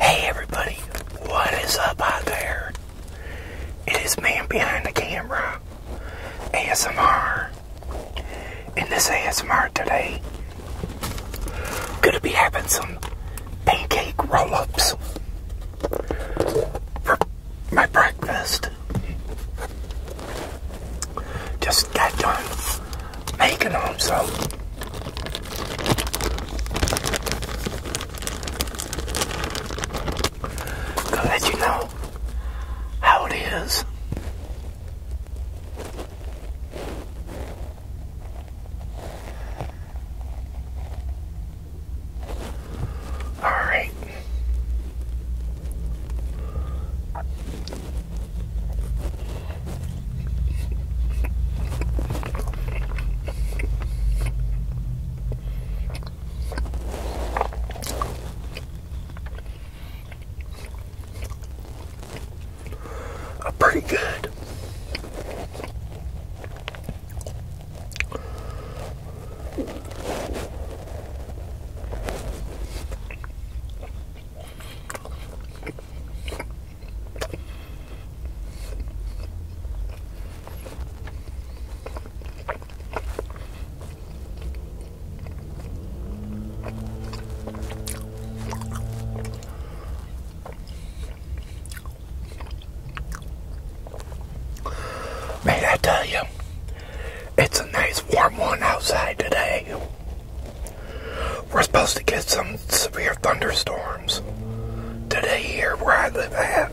Hey everybody, what is up out there? It is man behind the camera, ASMR. In this ASMR today, gonna be having some pancake roll-ups for my breakfast. Just got done making them, so. to let you know how it is. All right. Uh, pretty good. Man, I tell you, it's a nice warm one outside today. We're supposed to get some severe thunderstorms today here where I live at.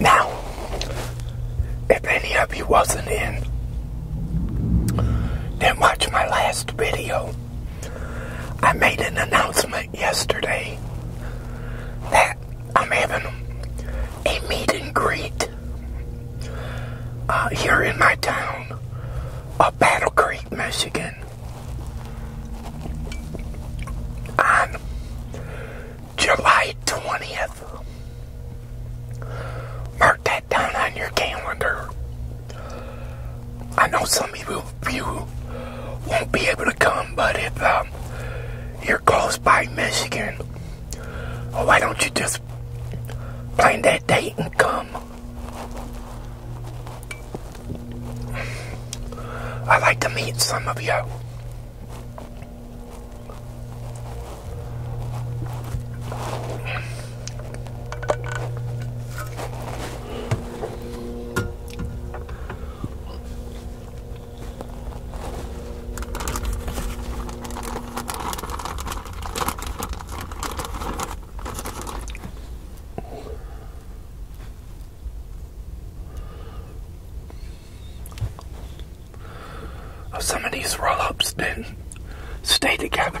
Now, if any of you wasn't in, did watch my last video, I made an announcement yesterday that I'm having a meet and greet uh, here in my town of Battle Creek, Michigan on July 20th. Mark that down on your calendar. I know some people you won't be able to come, but if um, you're close by Michigan, why don't you just plan that date and come? I'd like to meet some of you some of these roll ups did stay together.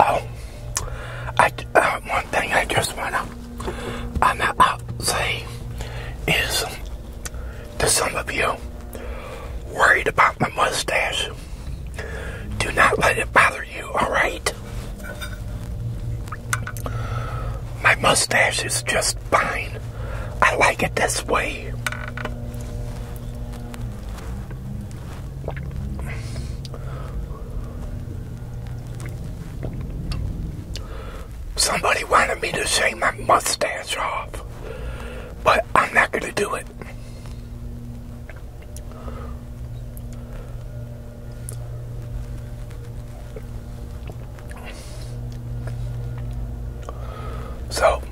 Oh, I, uh, one thing I just want to uh, say is to some of you worried about my mustache, do not let it bother you, alright? My mustache is just fine. I like it this way. Somebody wanted me to shave my mustache off, but I'm not going to do it. So,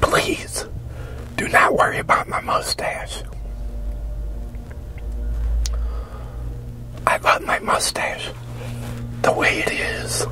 Please do not worry about my mustache. I love my mustache the way it is.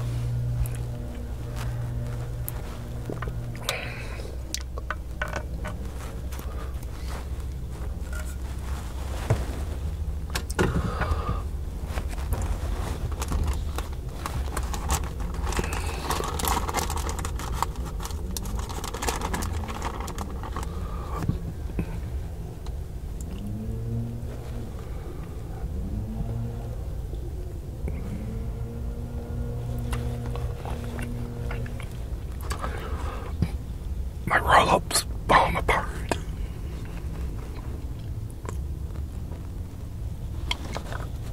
My roll ups fall apart.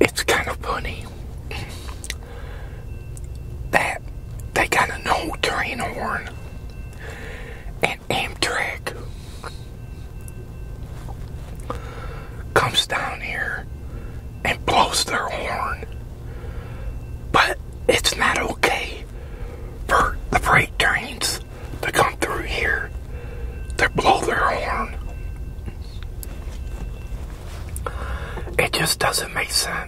It's kind of funny that they got an old train horn and Amtrak comes down here and blows their horn. But it's not okay for the freight trains to come through here to blow their horn. It just doesn't make sense.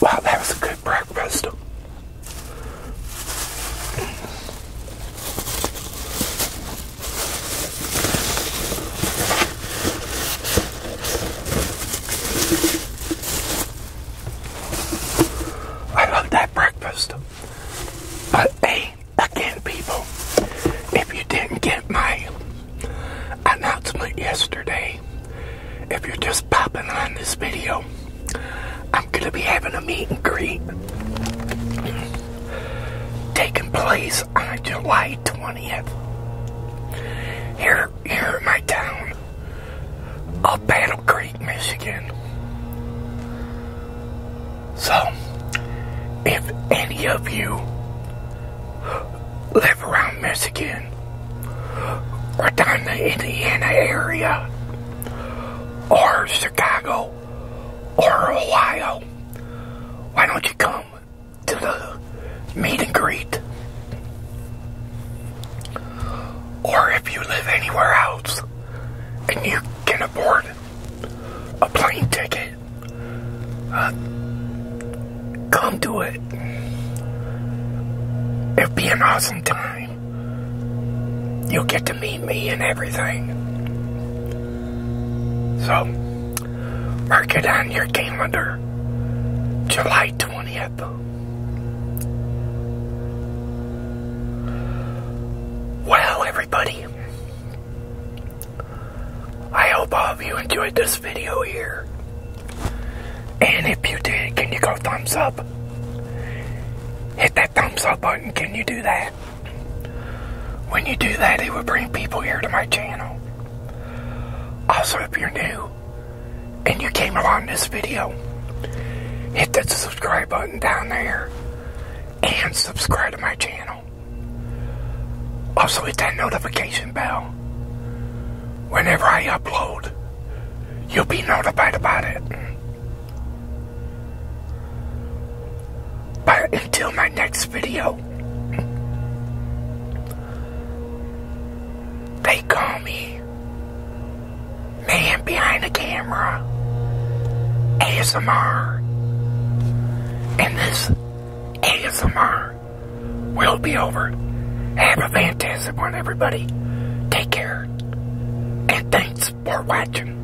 Wow, that was a good breakfast. I love that breakfast. But hey, again, people, if you didn't get my announcement yesterday, if you're just popping on this video, I'm going to be having a meet and greet taking place on July 20. Here, here in my town of Battle Creek, Michigan. So, if any of you live around Michigan or down the Indiana area or Chicago or Ohio, why don't you come? to the meet and greet. Or if you live anywhere else and you can afford a plane ticket, um, come do it. It'll be an awesome time. You'll get to meet me and everything. So, Mark it on your calendar. July 20th. Well, everybody. I hope all of you enjoyed this video here. And if you did, can you go thumbs up? Hit that thumbs up button. Can you do that? When you do that, it will bring people here to my channel. Also, if you're new and you came along this video, hit that subscribe button down there and subscribe to my channel. Also, hit that notification bell. Whenever I upload, you'll be notified about it until my next video, they call me Man Behind the Camera ASMR. And this ASMR will be over. Have a fantastic one, everybody. Take care. And thanks for watching.